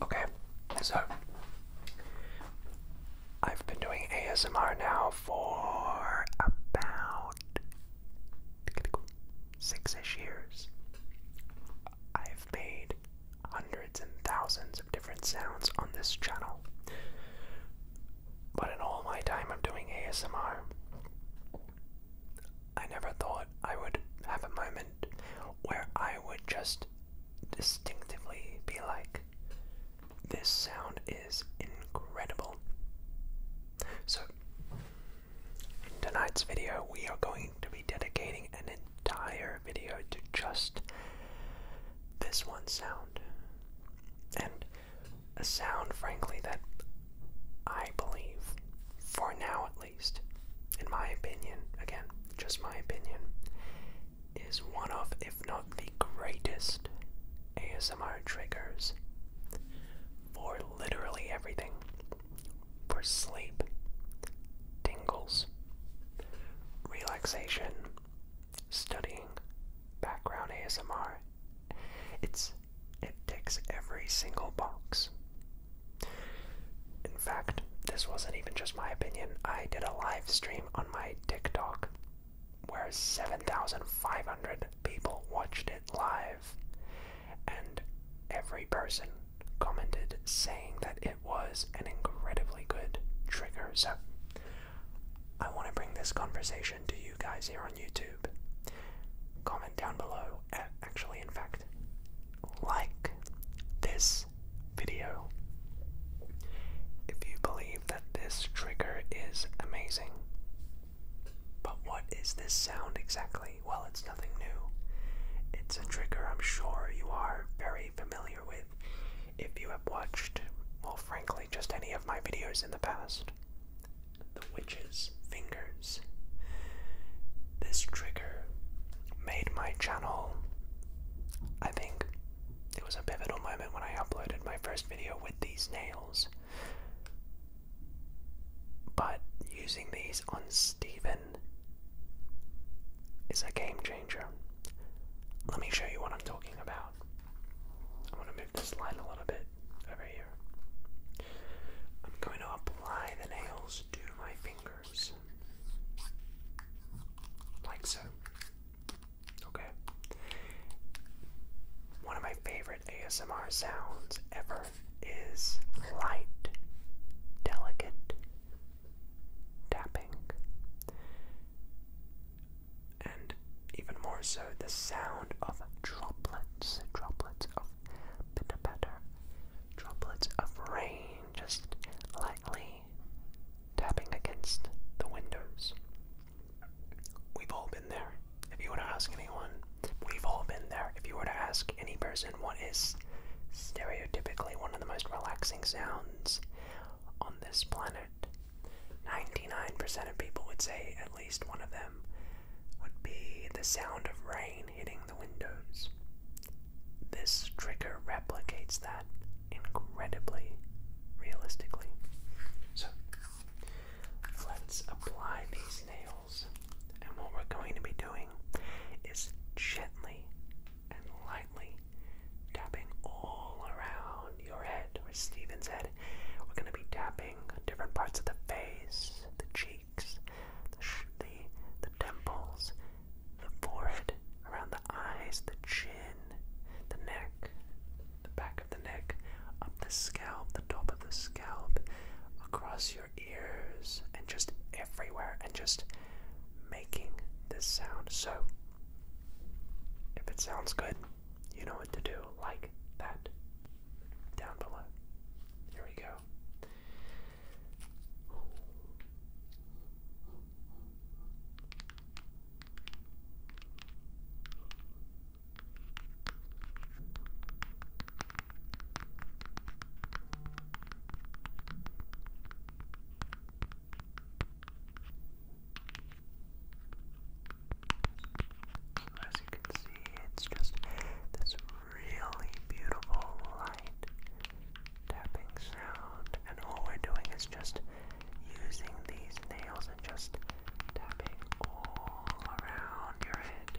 Okay, so I've been doing ASMR now for about six ish years. I've made hundreds and thousands of different sounds on this channel. But in all my time of doing ASMR, I never thought I would have a moment where I would just distinctively be like, this sound is incredible. So, in tonight's video, we are going to be dedicating an entire video to just this one sound. And a sound, frankly, that I believe, for now at least, in my opinion, again, just my opinion, is one of, if not the greatest, ASMR triggers for literally everything for sleep, tingles, relaxation, studying, background ASMR. It's it ticks every single box in fact, this wasn't even just my opinion. I did a live stream on my TikTok where 7,500 people watched it live, and every person commented saying that it was an incredibly good trigger. So, I want to bring this conversation to you guys here on YouTube. Comment down below, actually, in fact, like this video. If you believe that this trigger is amazing, but what is this sound exactly? Well, it's nothing new. It's a trigger I'm sure you are very familiar with if you have watched, well, frankly, just any of my videos in the past. The Witch's Fingers. This trigger made my channel I think it was a pivotal moment when I uploaded my first video with these nails. But using these on Stephen is a game changer. Let me show you what I'm talking about. I'm to move this line a little bit over here. I'm going to apply the nails to my finger. Like so. Okay. One of my favorite ASMR sounds ever is light, delicate tapping. And even more so, the sound of droplets, droplets of pitter droplets of rain just lightly tapping against the windows. We've all been there. If you were to ask anyone, we've all been there. If you were to ask any person what is stereotypically one of the most relaxing sounds on this planet, 99% of people would say at least one of them would be the sound of rain hitting the windows. This trigger replicates that incredibly realistically. So let's apply these nails, and what we're going to be doing is gently and lightly tapping all around your head or Stephen's head. We're going to be tapping different parts of the face, the cheeks, the, the temples, the forehead, around the eyes, the chin, the neck, the back of the neck, up the scalp, the top of the scalp, across your ears, and just everywhere, and just making this sound. So, if it sounds good, you know what to do, like that. Down below. Here we go. So as you can see, it's just this really beautiful light tapping sound, and all we're doing is just using these nails and just tapping all around your head.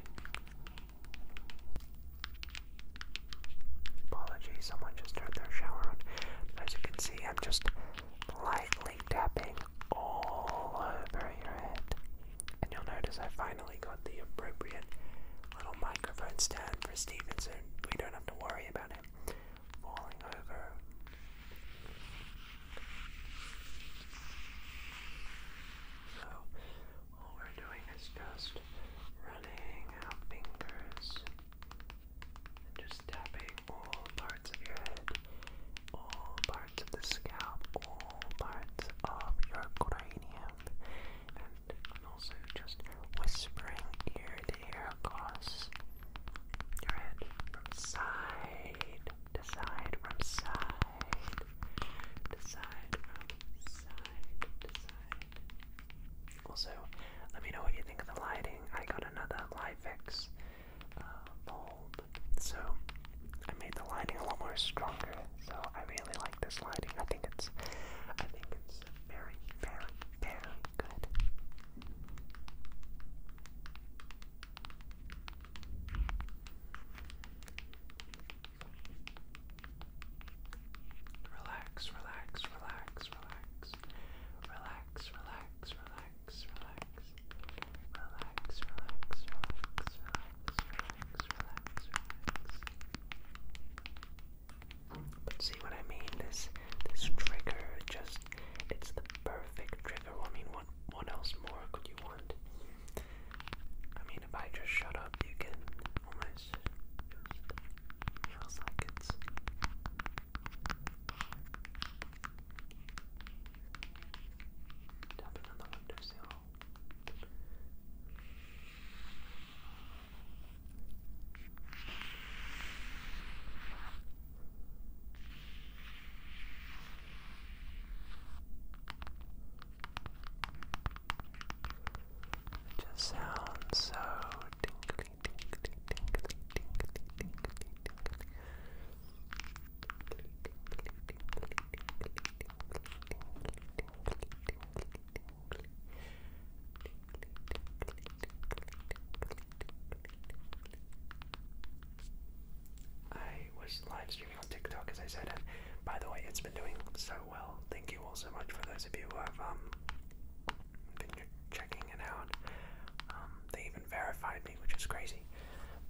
Apologies, someone just turned their shower on. As you can see, I'm just lightly tapping all over your head. And you'll notice I finally got the appropriate little microphone stand for Stevenson. We don't have to worry so, all we're doing is just running our fingers just tapping all parts of your head, all parts of the scalp, all parts of your cranium, and also just whispering ear to ear across your head from side to side, from side to side, from side to side. Also, let me know what you think of the lighting. I got another Livefix uh, mold, so I made the lighting a lot more stronger. So I really like this lighting. I think it's, I think it's is very, very, very good. Relax, relax, relax, relax. Relax, relax, relax, relax. Relax, relax, relax, relax, relax, relax, relax. But see what I mean? This this trigger just it's the perfect trigger. I mean what what else more could you want? I mean if I just shut up you can almost just feels like it's Tapping on the it just sounds so tingly, tingly, tingly, tingly, tingly, tingly. Tingly, tingly, tingly, tingly, tingly, tingly, tingly, tingly, tingly, tingly, tingly, I was live streaming on TikTok as I said, by the way, it's been doing so well. Thank you all so much for those of you who have um, been checking it out. Um, they even verified me, which is crazy.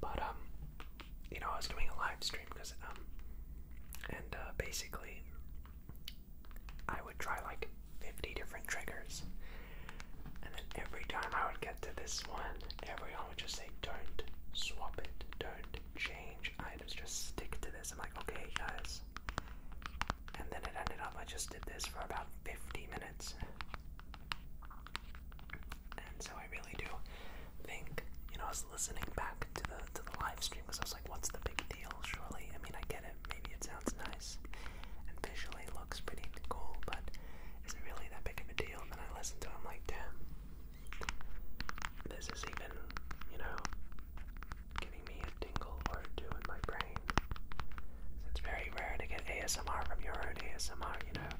But um, you know, I was doing a live stream because um, and uh, basically I would try like 50 different triggers. And then every time I would get to this one, everyone would just say, don't swap it, don't change items, just stick to this. I'm like, okay, guys. And then it ended up, I just did this for about 50 minutes. And so I really do think, you know, I was listening back to the to the live stream because I was like, what's the big deal? Surely, I mean, I get it. Maybe it sounds nice and visually looks pretty cool, but is it really that big of a deal? And then I listen to it, I'm like, damn, this is even, you know, giving me a tingle or two in my brain. It's very rare to get ASMR from your own ASMR, you know,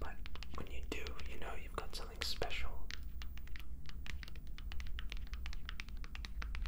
but when you do, you know you've got something special.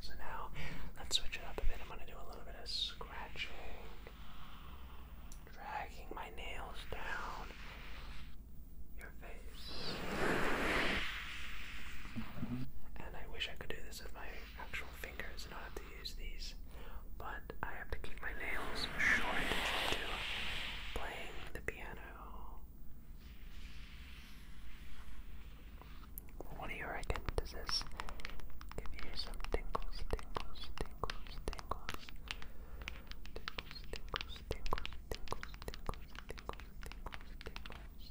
So now, let's switch it up a bit. I'm going to do a little bit of scratching, dragging my nails down your face. And I wish I could do this with my actual fingers and not have to use these, but I have to keep my nails short to playing the piano. What do you reckon? Does this give you some tingles, tingles, tingles, tingles? Tingles, tingles, tingles, tingles, tingles, tingles, tingles,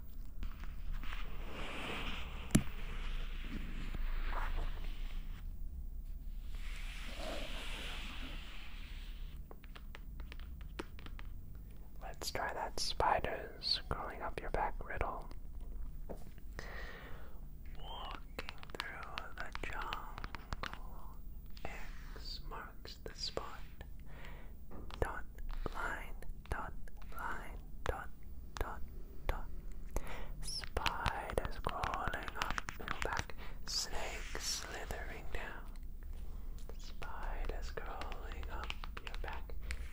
Let's try that spiders crawling up your back riddle. Walking through the jungle, X marks the spot. Dot line dot, line, dot, dot, dot. Spiders crawling up and back, snakes slithering down. Spiders crawling up your back,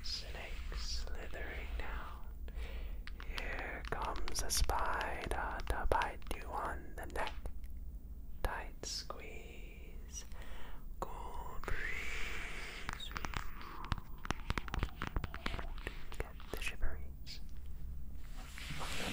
snakes slithering down. Here comes a spider to bite you on the neck. Tight squeeze, cool breeze. Get the shiveries. Good.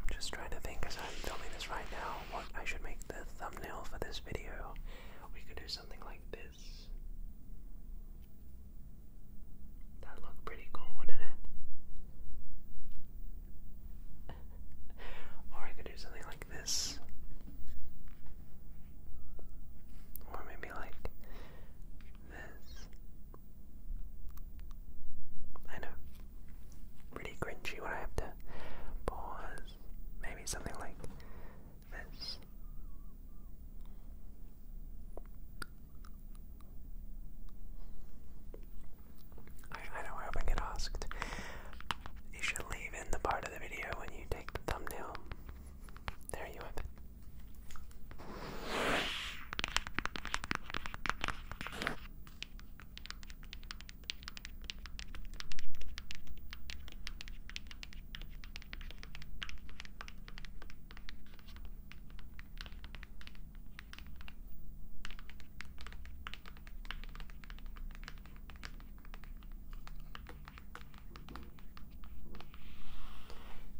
I'm just trying to think as I'm filming this right now what I should make the thumbnail for this video. We could do something like this. That looked pretty cool, wouldn't it? Or I could do something like this. Or maybe like this. I know. Pretty cringy when I have to pause. Maybe something like this. I, I know I get asked. You should leave in the part of the video when you take the thumbnail. There you have it.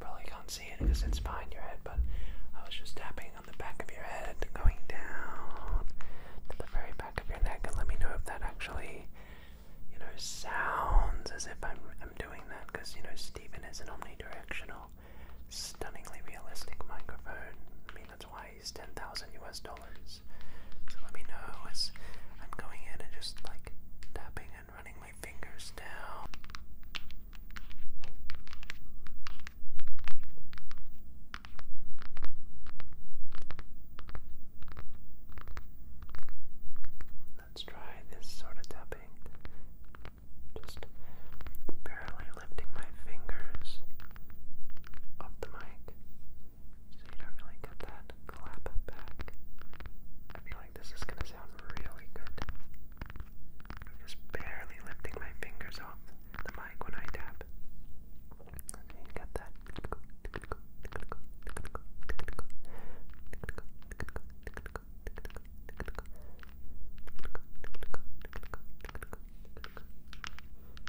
Probably can't see it because it's behind your head, but I was just tapping on the back of your head, going down to the very back of your neck, and let me know if that actually, you know, sounds as if I'm, I'm doing that, because, you know, Stephen is an omnidirectional, stunningly realistic microphone. I mean, that's why pays 10,000 US dollars. So let me know as I'm going in and just like tapping and running my fingers down. Let's try this sort of tapping. Just barely lifting my fingers off the mic so you don't really get that clap back. I feel like this is gonna sound really good. am just barely lifting my fingers off the mic when I tap. you get that.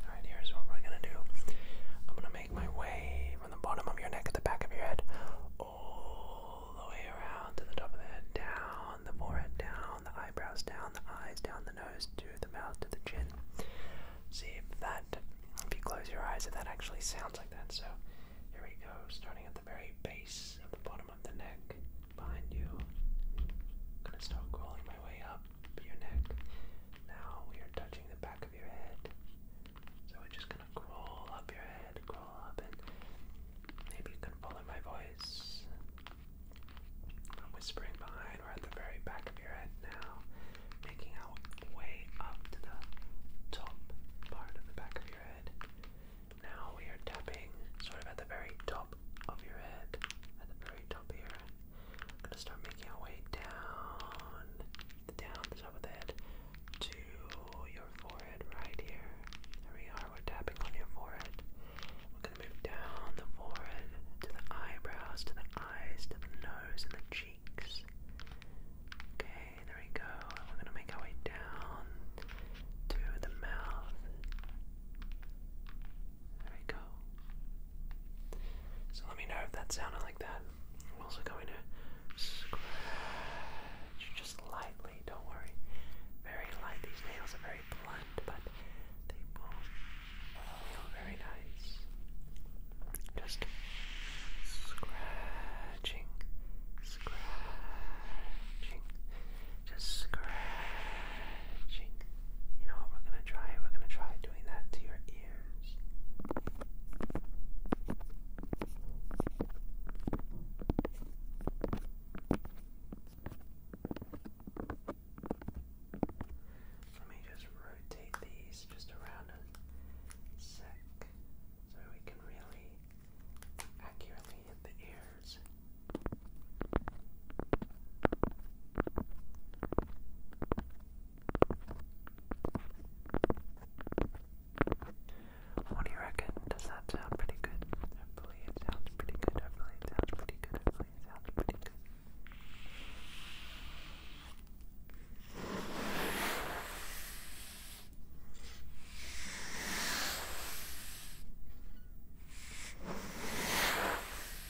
Alright, here's what we're gonna do. I'm gonna make my way from the bottom of your neck to the back of your head, all the way around to the top of the head, down the forehead, down the eyebrows, down the eyes, down the nose, to the mouth, to the chin. See if that, if you close your eyes, if that actually sounds like that. So here we go, starting at the very base of the bottom of the neck behind you. gonna start crawling my way up your neck. Now we are touching the back of your head. So we're just gonna crawl up your head, crawl up, and maybe you can follow my voice. I'm whispering behind. we at the very back of your head now, making our way up to the top part of the back of your head. Now we are tapping sort of at the very top of your head, very top here. I'm gonna start making our way down, down the top of the to your forehead right here. There we are, we're tapping on your forehead. We're gonna move down the forehead to the eyebrows, to the eyes, to the nose, and the cheeks. Okay, there we go. We're gonna make our way down to the mouth. There we go. So let me know if that sounded like that. I'm also going to scratch just lightly, don't worry. Very light. These nails are very blunt, but they will feel very nice. Just scratching, scratching, just scratching. You know what we're gonna try? We're gonna try doing that to your ears. Let me just rotate these just around a sec so we can really accurately hit the ear is. What do you reckon? Does that sound pretty good? Hopefully it sounds pretty good. Hopefully it sounds pretty good. Hopefully it sounds pretty good.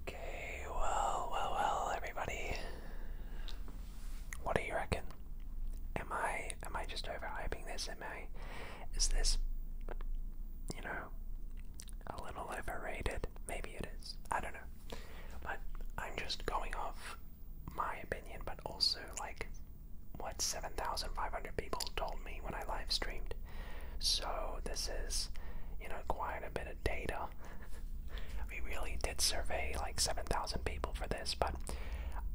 Okay, well, well, well, everybody. What do you reckon? Am I am I just overhyping this? Am I is this you know a little overrated? Maybe it is. I don't know. But I'm just going off my opinion, but also like what 7,500 people told me when I live streamed. So this is, you know, quite a bit of data we really did survey like 7,000 people for this, but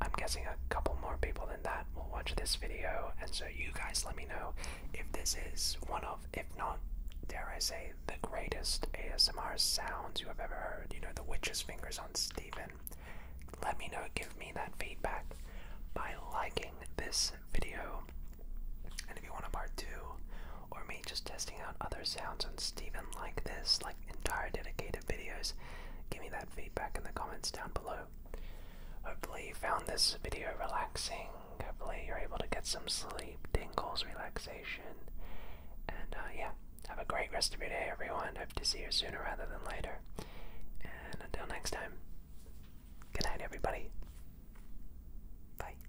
I'm guessing a couple more people than that will watch this video. And so, you guys let me know if this is one of, if not, dare I say, the greatest ASMR sounds you have ever heard. You know, the witch's fingers on Stephen. Let me know, give me that feedback by liking this video. And if you want a part two or me just testing out other sounds and Stephen like this, like entire dedicated videos, give me that feedback in the comments down below. Hopefully you found this video relaxing. Hopefully you're able to get some sleep, tingles, relaxation. And uh, yeah, have a great rest of your day everyone. Hope to see you sooner rather than later. And until next time, good night everybody. Bye.